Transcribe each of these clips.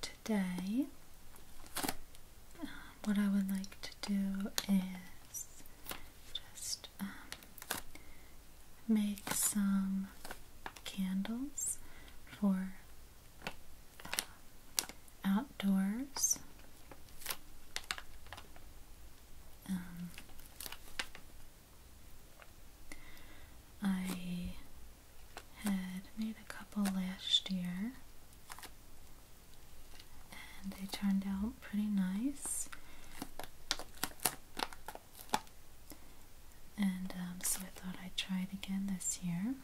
today, um, what I would like to do is just um, make some candles for um, outdoors. I had made a couple last year and they turned out pretty nice. And um, so I thought I'd try it again this year.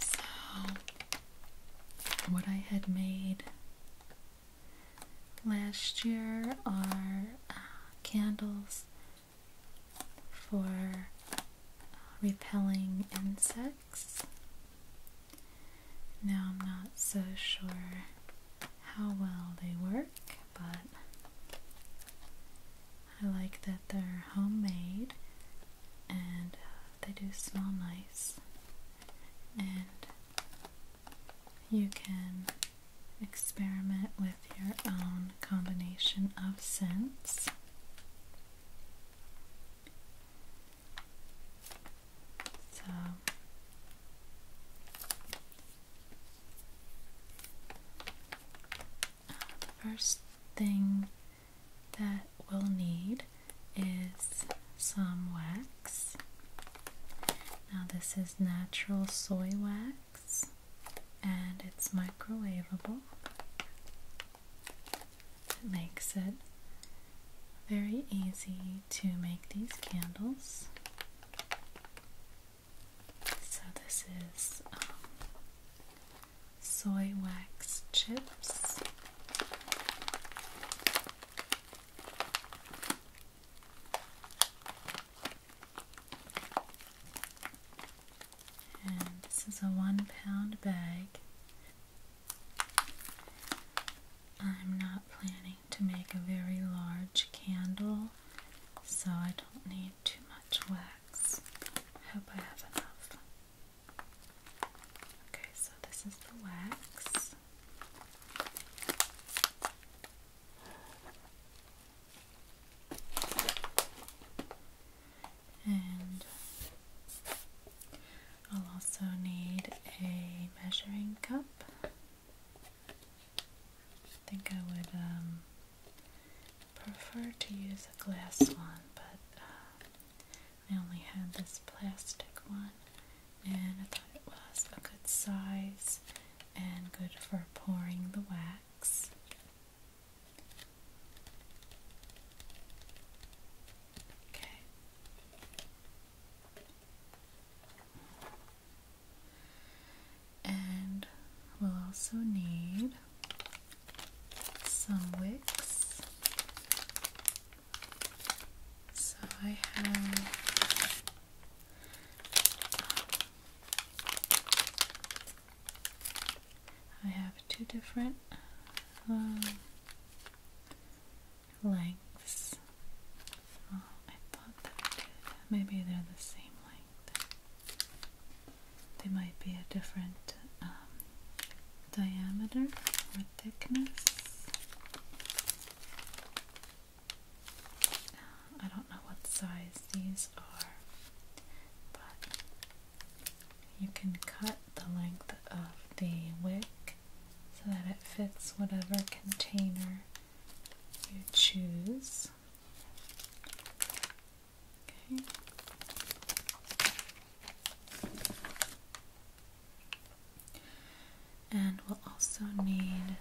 So, what I had made Last year, our uh, candles for uh, repelling insects. Now, I'm not so sure how well they work, but I like that they're homemade and uh, they do smell nice. And you can experiment with your own combination of scents. So uh, the first thing that we'll need is some wax. Now, this is natural soy wax and it's microwavable. It makes it very easy to make these candles. So, this is um, soy wax chips this is a one pound bag. I'm not planning to make a very large candle, so I don't need too much wax. I hope I have enough. Okay, so this is the wax. And I'll also need a measuring cup. I think I would um, prefer to use a glass one, but uh, I only had this plastic one and I thought it was a good size and good for pouring the wax. Okay. And we'll also need some wicks so I have I have two different um, lengths. Oh, I thought that maybe they're the same length. They might be a different um, diameter or thickness. I don't know what size these are, but you can cut the length of the wick so that it fits whatever container you choose. Okay. And we'll also need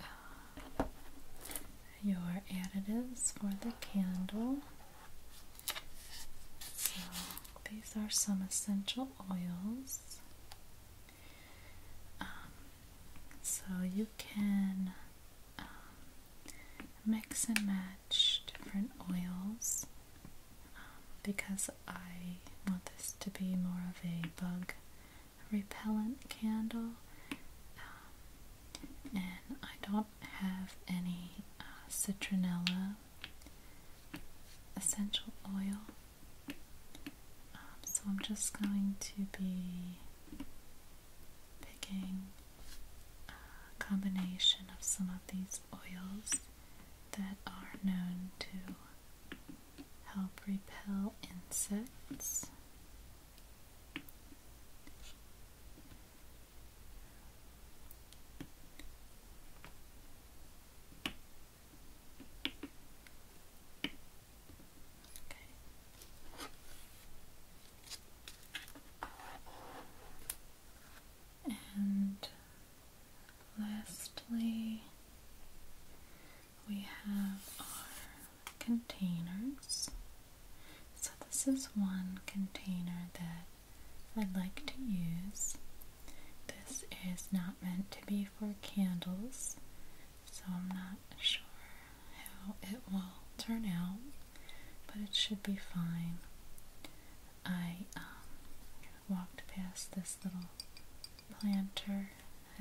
uh, your additives for the candle. So these are some essential oils. Um, so you can um, mix and match different oils um, because I want this to be more of a bug repellent candle. Um, and I don't have any uh, citronella essential oil. Um, so I'm just going to be picking a combination of some of these oils that are known to help repel insects. Okay. And Lastly, we have our containers. So, this is one container that I would like to use. This is not meant to be for candles, so I'm not sure how it will turn out, but it should be fine. I um, walked past this little planter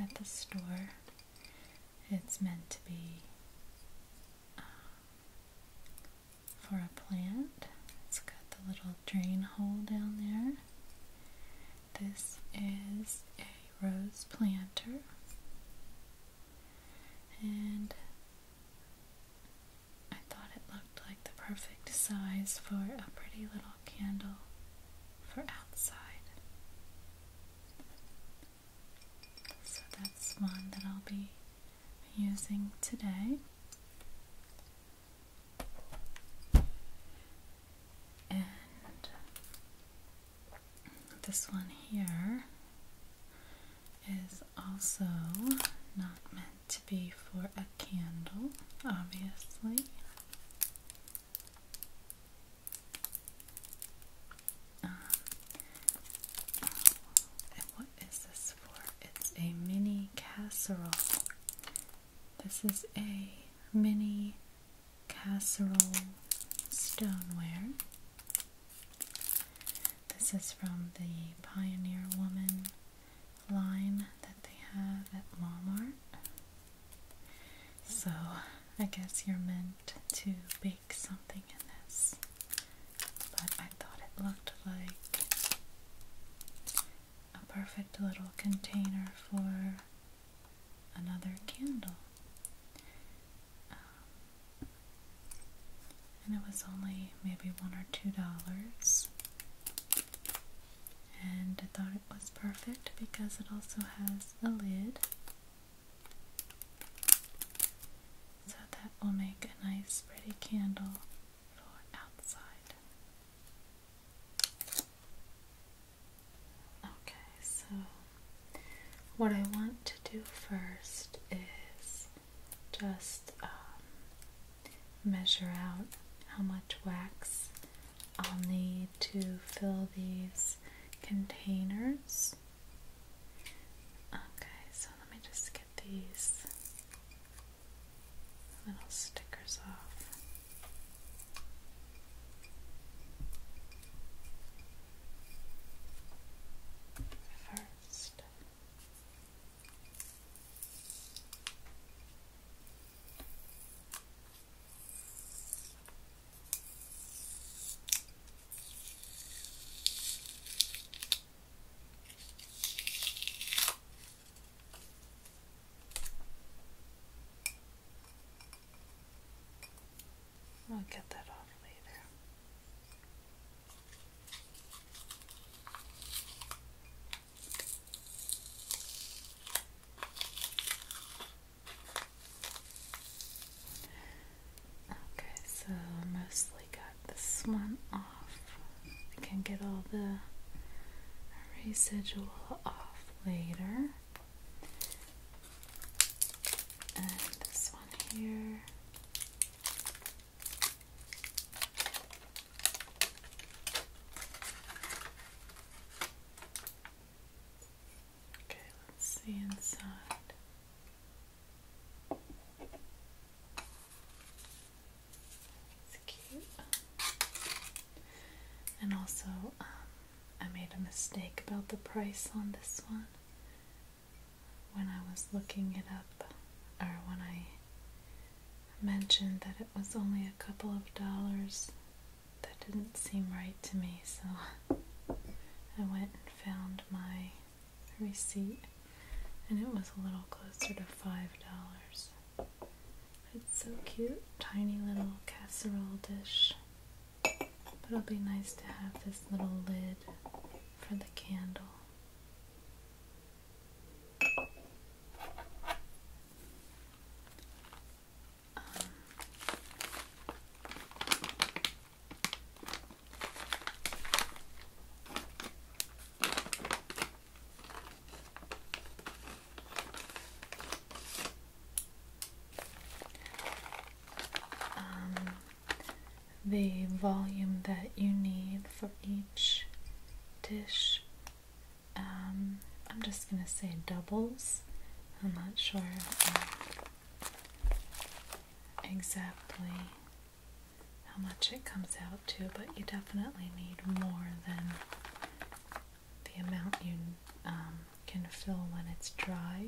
at the store. It's meant to be um, for a plant. It's got the little drain hole down there. This is a rose planter. And I thought it looked like the perfect size for a pretty little candle for outside. So that's one that I'll be using today. And this one here is also not meant to be for a candle, obviously. Um, and what is this for? It's a mini casserole. This is a mini casserole stoneware. This is from the Pioneer Woman line that they have at Walmart. So I guess you're meant to bake something in this. But I thought it looked like a perfect little container for another candle. Um, and it was only maybe one or two dollars. And I thought it was perfect because it also has a lid. So that will make a nice pretty candle for outside. Okay, so what I want to do first is just um, measure out how much wax I'll need to fill these containers. Okay, so let me just get these little stickers off. First, I'll get that off later. Okay, so mostly got this one off. I can get all the residual off later. And this one here. Okay, let's see inside. It's cute. And also, um, I made a mistake about the price on this one. When I was looking it up, or when I mentioned that it was only a couple of dollars. That didn't seem right to me, so I went and found my receipt, and it was a little closer to five dollars. It's so cute, tiny little casserole dish. But it'll be nice to have this little lid for the candle. Um, the volume that you need for each dish um, I'm just gonna say doubles. I'm not sure exactly how much it comes out to, but you definitely need more than the amount you um, can fill when it's dry.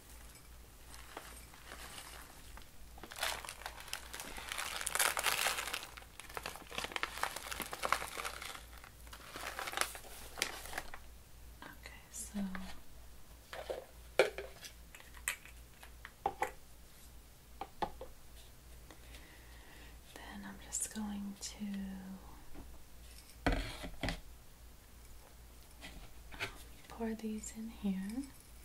Okay, so then I'm just going to pour these in here.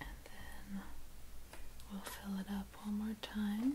And then we'll fill it up one more time.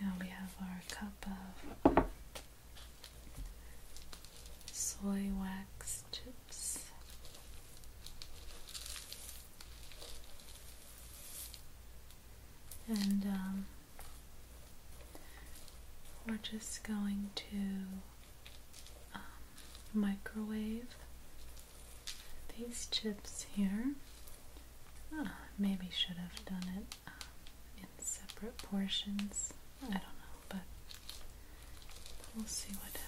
Now we have our cup of soy wax chips. And um, we're just going to um, microwave these chips here. Ah, maybe should have done it um, in separate portions. I don't know, but we'll see what happens.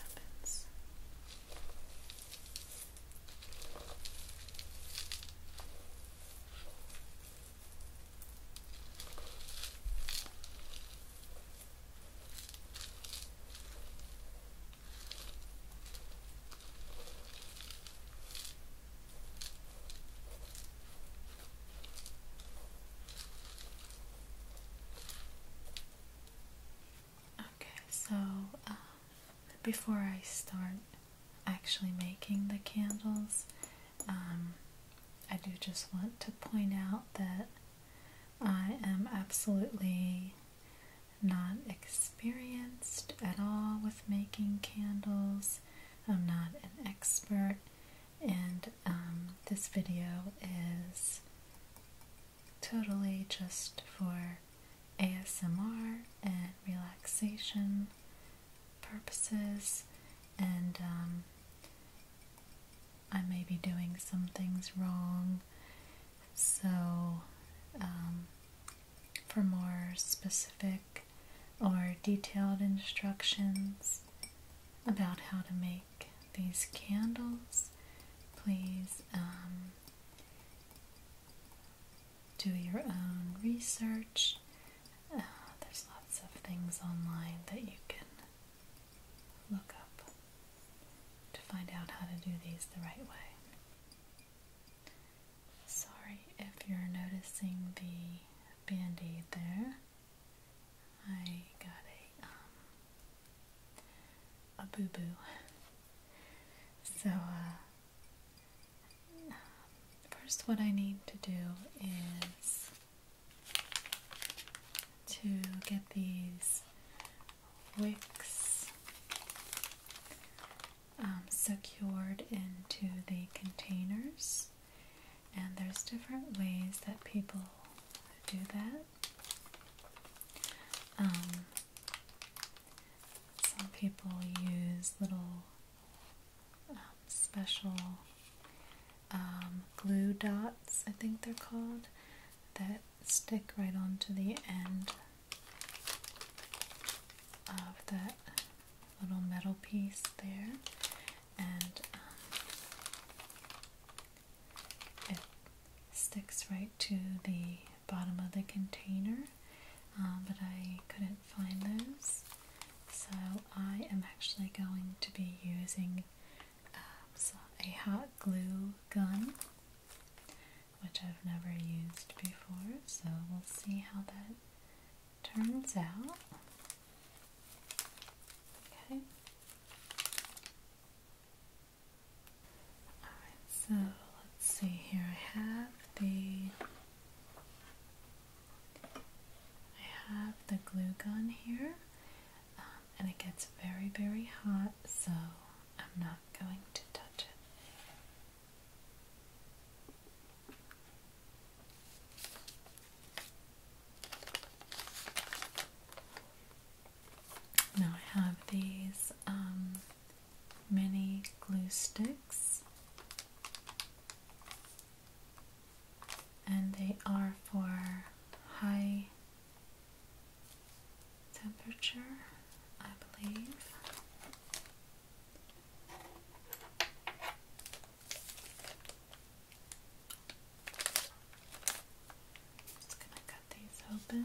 Okay, so uh, before I start actually making the candles, um, I do just want to point out that I am absolutely not experienced at all with making candles. I'm not an expert, and um, this video is totally just for ASMR and relaxation purposes, and um, I may be doing some things wrong so, um, for more specific or detailed instructions about how to make these candles, please um, do your own research. Uh, there's lots of things online that you can look up to find out how to do these the right way. Sorry if you're noticing the band aid there. I got a, um, a boo boo. So, uh, first, what I need to do is to get these wicks um, secured into the containers, and there's different ways that people do that. Um, some people use little um, special glue dots, I think they're called, that stick right onto the end of that little metal piece there, and um, it sticks right to the bottom of the container. Um, but I couldn't find those, so I am actually going to be using um, a hot glue gun which I've never used before, so we'll see how that turns out. Okay. Alright, so let's see here. I have the I have the glue gun here, um, and it gets very, very hot, so I'm not going to touch it. Now I have these um, mini glue sticks, and they are for high temperature, I believe. Just gonna cut these open.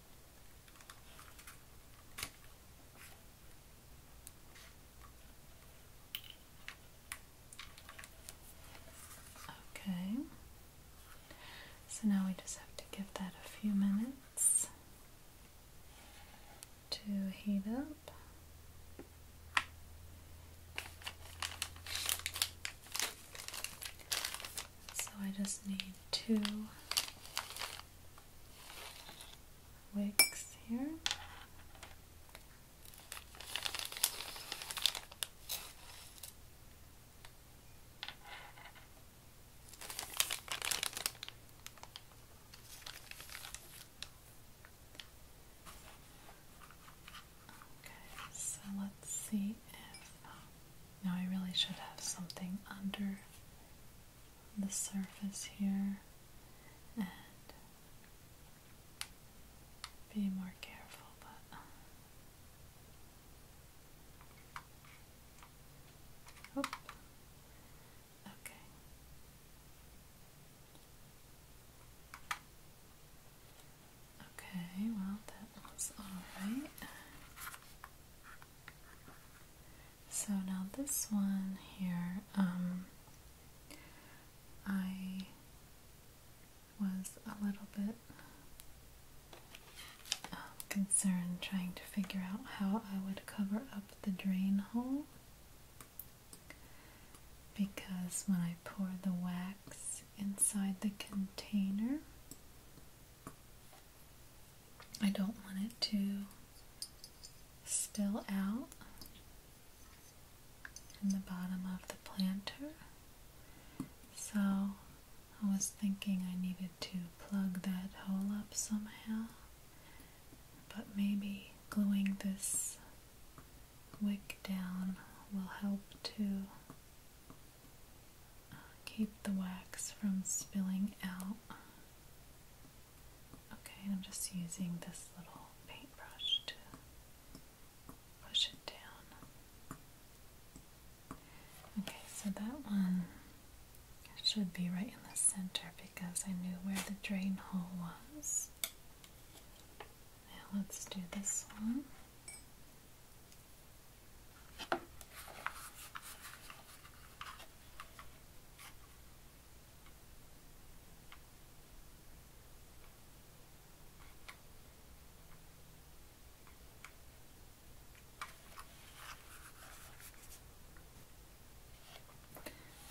Okay, so now we just have to give that a few minutes to heat up. So I just need two wicks here. Okay, so let's see. Um, now I really should have something under the surface here and be more careful, but Oop. okay. Okay, well that was all right. So now this one here, um, I was a little bit um, concerned trying to figure out how I would cover up the drain hole because when I pour the wax inside the container, I don't want it to spill out in the bottom of the planter. So I was thinking I needed to plug that hole up somehow, but maybe gluing this wick down will help too keep the wax from spilling out. Okay, and I'm just using this little paintbrush to push it down. Okay, so that one should be right in the center because I knew where the drain hole was. Now let's do this one.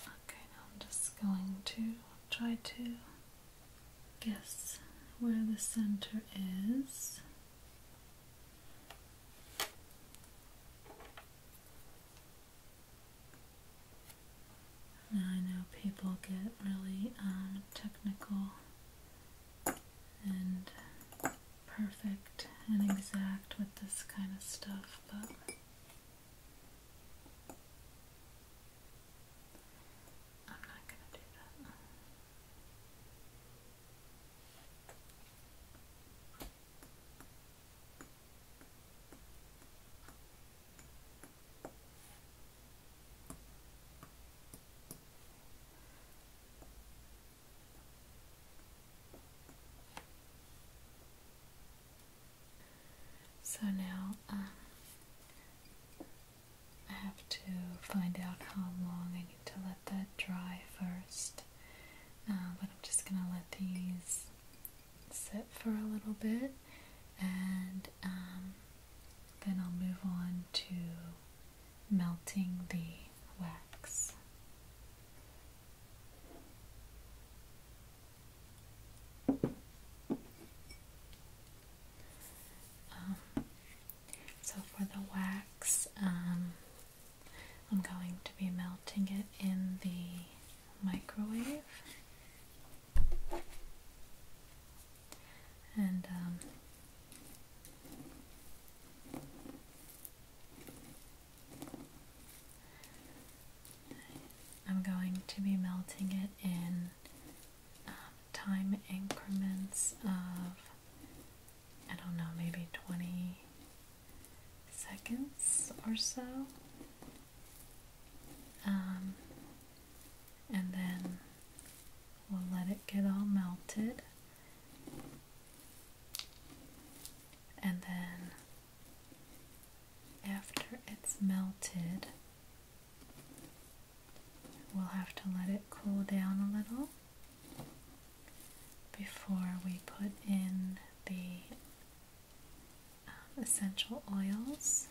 Okay, now I'm just going to try to guess where the center is. I know people get really um, technical and perfect and exact with this kind of stuff, but I'm not going to do that. So now um, I have to find out how long I need to let let that dry first. Uh, but I'm just gonna let these sit for a little bit and um, then I'll move on to melting the wax. Um, so for the wax, um, I'm going to be melting it in the microwave. And um, I'm going to be melting it in um, time increments of I don't know, maybe 20 seconds or so. Um, and then we'll let it get all melted. And then after it's melted, we'll have to let it cool down a little before we put in the um, essential oils.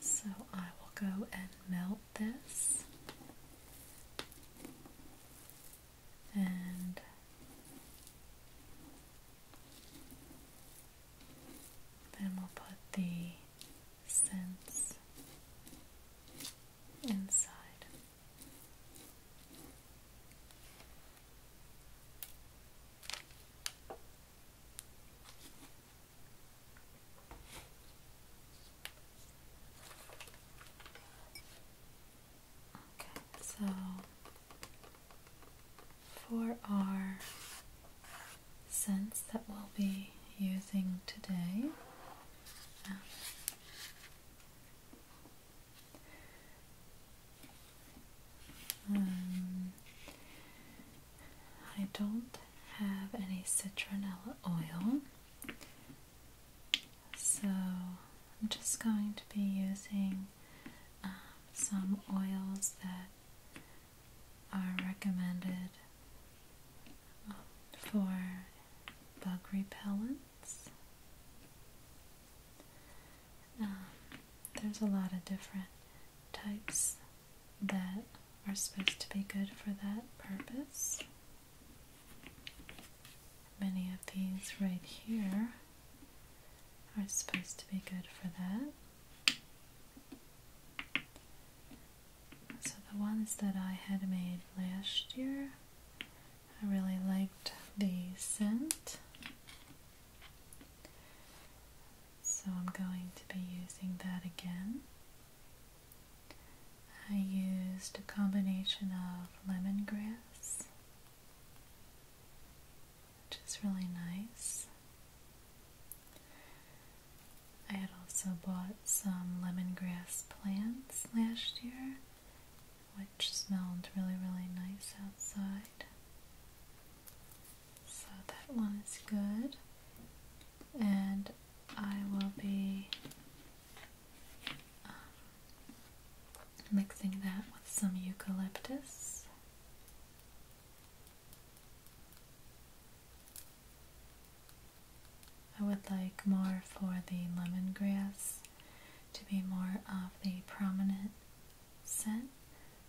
So I will go and melt this and then we'll put the scents inside. Okay, so for our sense that we'll be using today. Um, I don't have any citronella oil, so I'm just going to be using um, some oils that are recommended um, for bug repellents. Um, there's a lot of different types that are supposed to be good for that purpose. Many of these right here are supposed to be good for that. So the ones that I had made last year, I really liked the scent. So I'm going to be using that again. I used a combination of lemongrass which is really nice. I had also bought some lemongrass plants last year, which smelled really, really nice outside. So that one is good. And I will be um, Mixing that with some eucalyptus. I would like more for the lemongrass to be more of the prominent scent,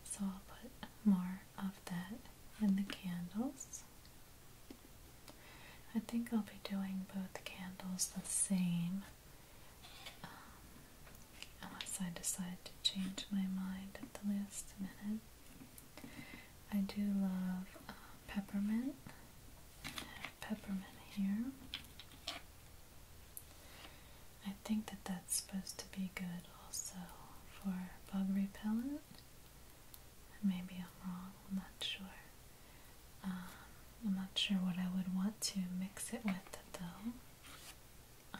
so I'll put more of that in the candles. I think I'll be doing both candles the same. Um, unless I decide to change my mind at the last minute. I do love uh, peppermint. peppermint here. I think that that's supposed to be good also for bug repellent. Maybe I'm wrong, I'm not sure. Um, I'm not sure what I would want to mix it with though.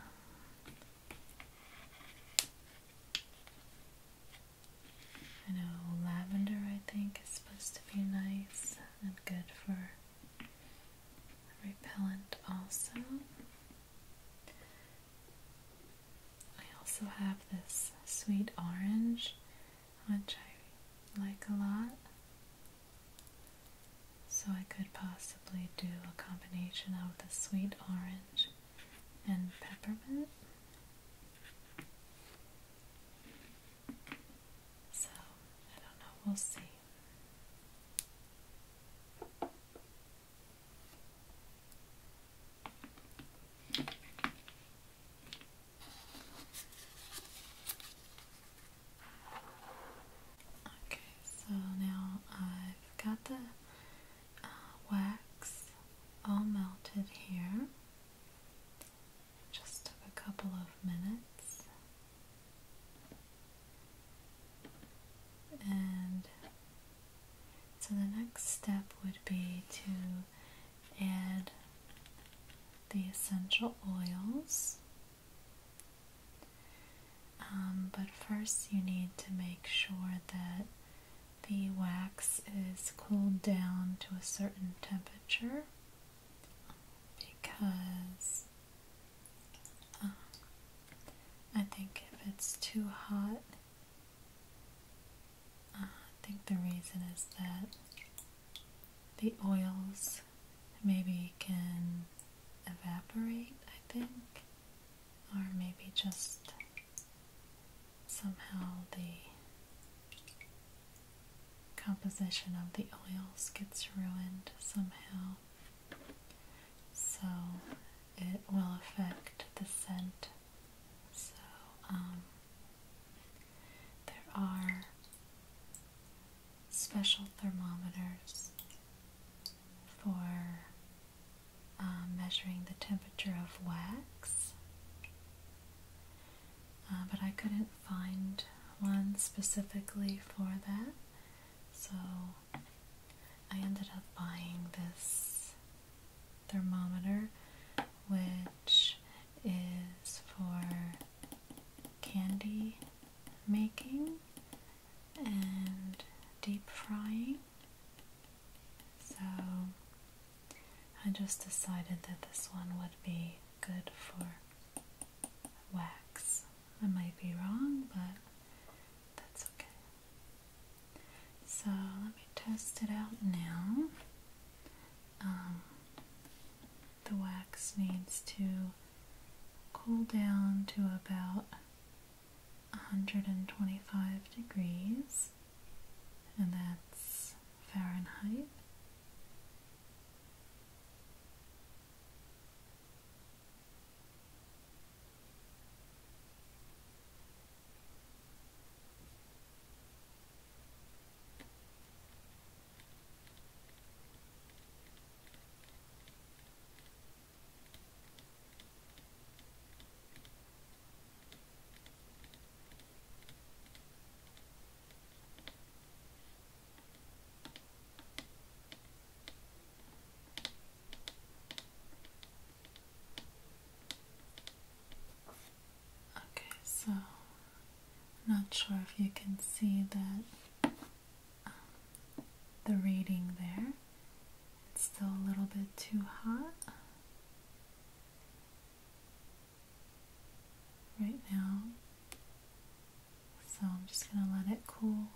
I know lavender, I think, is supposed to be nice and good for repellent, also. I also have this sweet orange, which I like a lot. So I could possibly do a combination of the sweet orange and peppermint. So, I don't know, we'll see. Okay, so now I've got the uh, wax all melted here. Just took a couple of minutes. And so the next step would be to add the essential oils. Um, but first, you need to make sure that the wax is cooled down to a certain temperature because uh, I think if it's too hot, uh, I think the reason is that the oils maybe it can evaporate, I think, or maybe just somehow the composition of the oils gets ruined somehow. So it will affect the scent. So, um, there are special thermometers for um, measuring the temperature of wax, uh, but I couldn't find one specifically for that, so I ended up buying this thermometer, which is for candy making and deep frying. So I just decided that this one would be good for wax. I might be wrong, but that's okay. So let me test it out now. Um, the wax needs to cool down to about 125 degrees, and that's Fahrenheit. Okay, so I'm not sure if you can see that the reading there. It's still a little bit too hot. Right now. So I'm just going to let it cool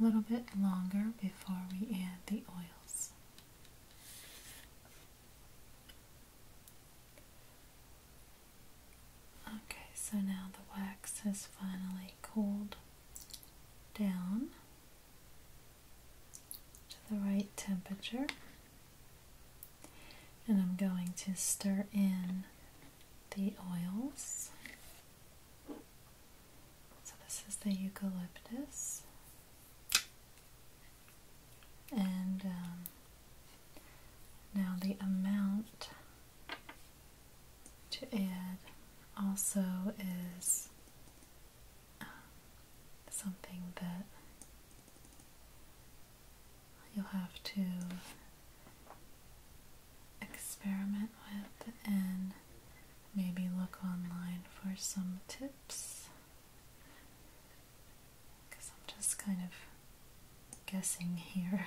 a little bit longer before we add the oils. Okay, so now the wax has finally cooled down to the right temperature. And I'm going to stir in the oils. So, this is the eucalyptus. And um, now, the amount to add also is um, something that you'll have to experiment with and maybe look online for some tips because I'm just kind of guessing here.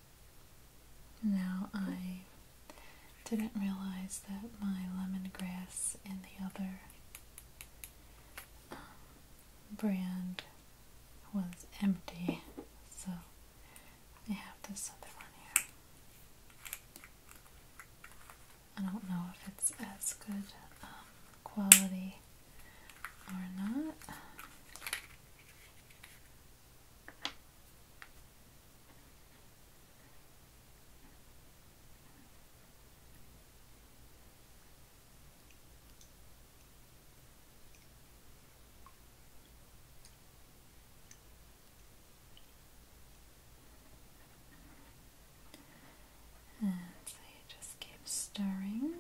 Now I didn't realize that my lemongrass and the other um, brand was empty, so I have this other one here. I don't know if it's as good um, quality or not. And so you just keep stirring.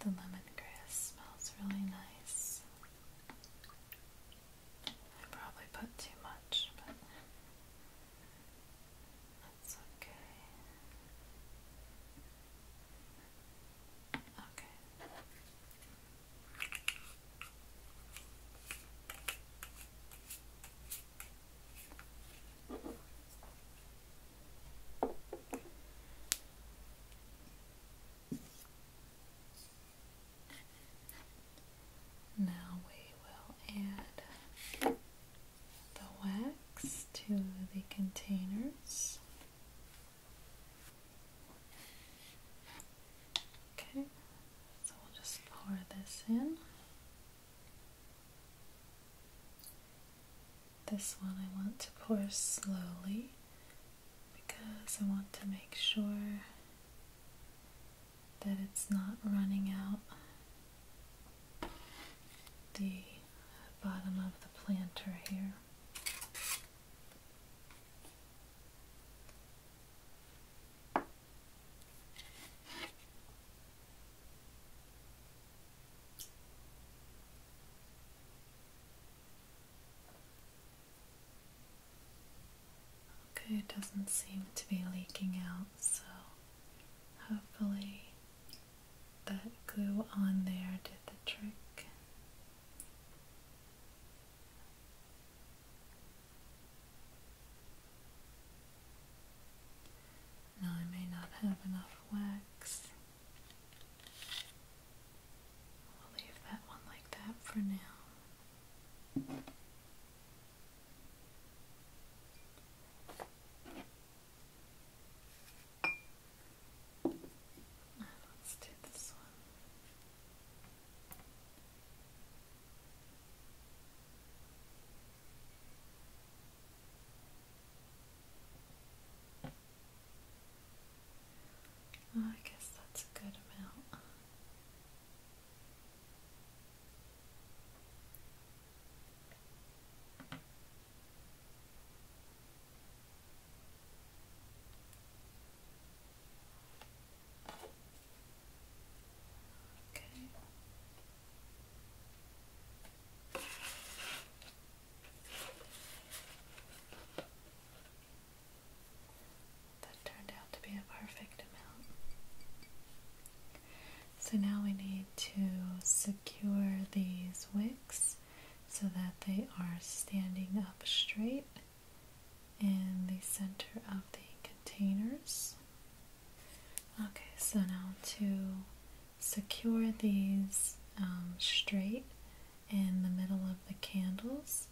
The lemongrass smells really nice. I probably put too much, but that's okay. Okay. Now we will add the wax to the containers. Okay, so we'll just pour this in. This one I want to pour slowly because I want to make sure that it's not running out the bottom of the planter here. Okay, it doesn't seem to be leaking out so hopefully that glue on there did the trick. Now I may not have enough wax. We'll leave that one like that for now. Let's do this one. Oh, I guess that's a good amount. That turned out to be a perfect amount. So now we need to secure these wicks so that they are standing up straight in the center of the containers. Okay, so now to secure these um, straight in the middle of the candles,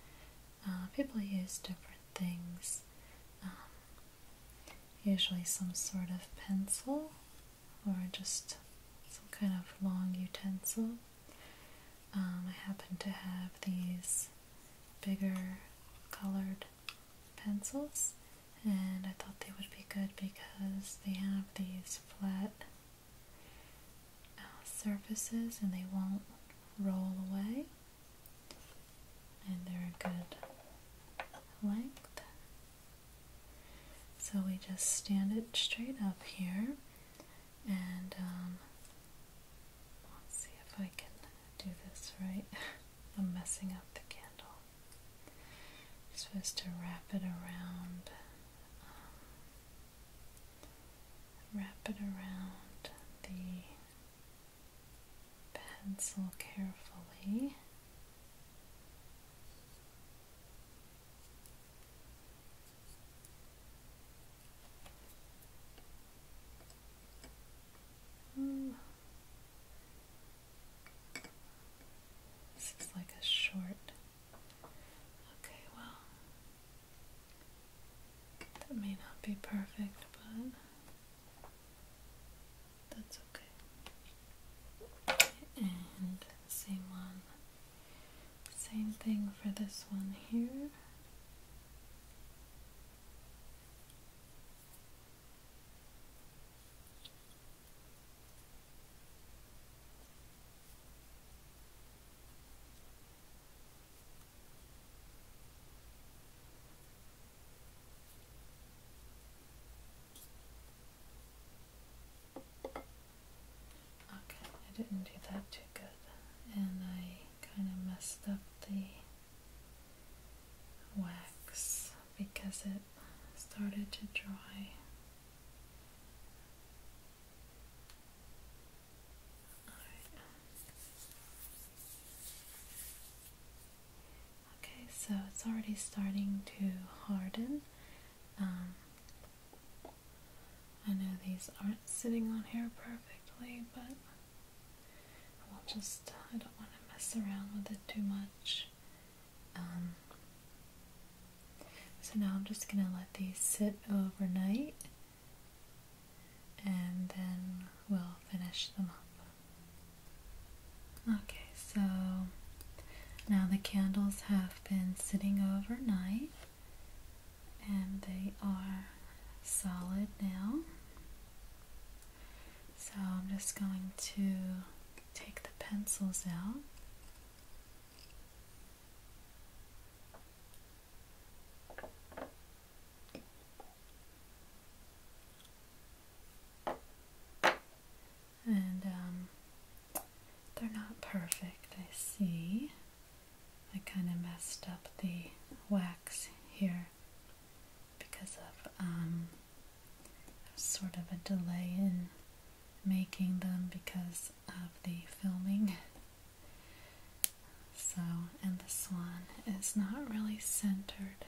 uh, people use different things. Um, usually some sort of pencil or just some kind of long utensil. Um, I happen to have these bigger colored pencils and I thought they would be good because they have these flat uh, surfaces and they won't roll away and they're a good length so we just stand it straight up here and um, let's see if I can do this right. I'm messing up the candle. supposed to wrap it around, um, wrap it around the pencil carefully. this is like a short. Okay, well, that may not be perfect, but that's okay. And same one. Same thing for this one here. Okay, I didn't do that too good. And I kind of messed up the wax because it started to dry. Okay, so it's already starting to harden. Um, I know these aren't sitting on here perfectly, but I will just, I don't want to mess around with it too much. Um, so now I'm just going to let these sit overnight and then we'll finish them up. Okay, so now the candles have been sitting overnight and they are solid now. So I'm just going to take the pencils out and um, they're not perfect, I see. I kind of messed up the wax here because of um, sort of a delay in making them because of the filming. So, and this one is not really centered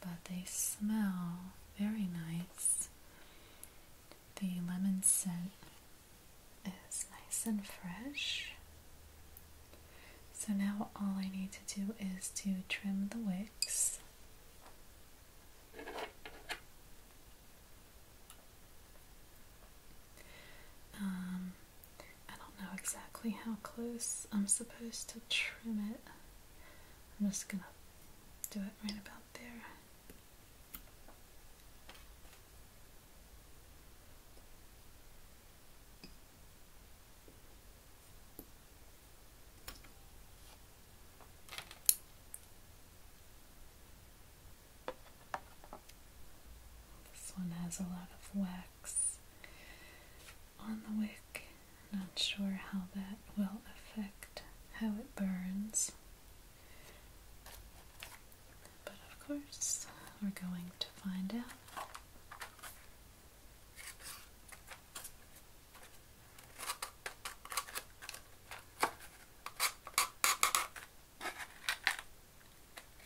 but they smell very nice. The lemon scent is nice and fresh. So now all I need to do is to trim the wicks. Um, I don't know exactly how close I'm supposed to trim it. I'm just gonna do it right about there. This one has a lot of whack on the wick. Not sure how that will affect how it burns. But of course, we're going to find out.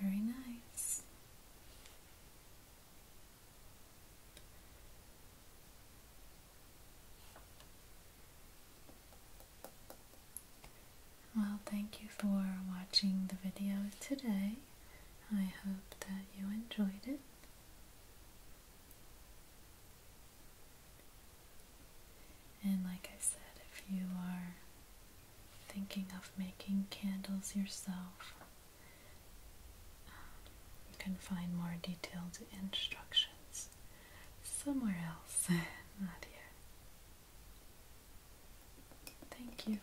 Very nice. Well, thank you for watching the video today. I hope that you enjoyed it. And like I said, if you are thinking of making candles yourself, um, you can find more detailed instructions somewhere else, not here. Thank you.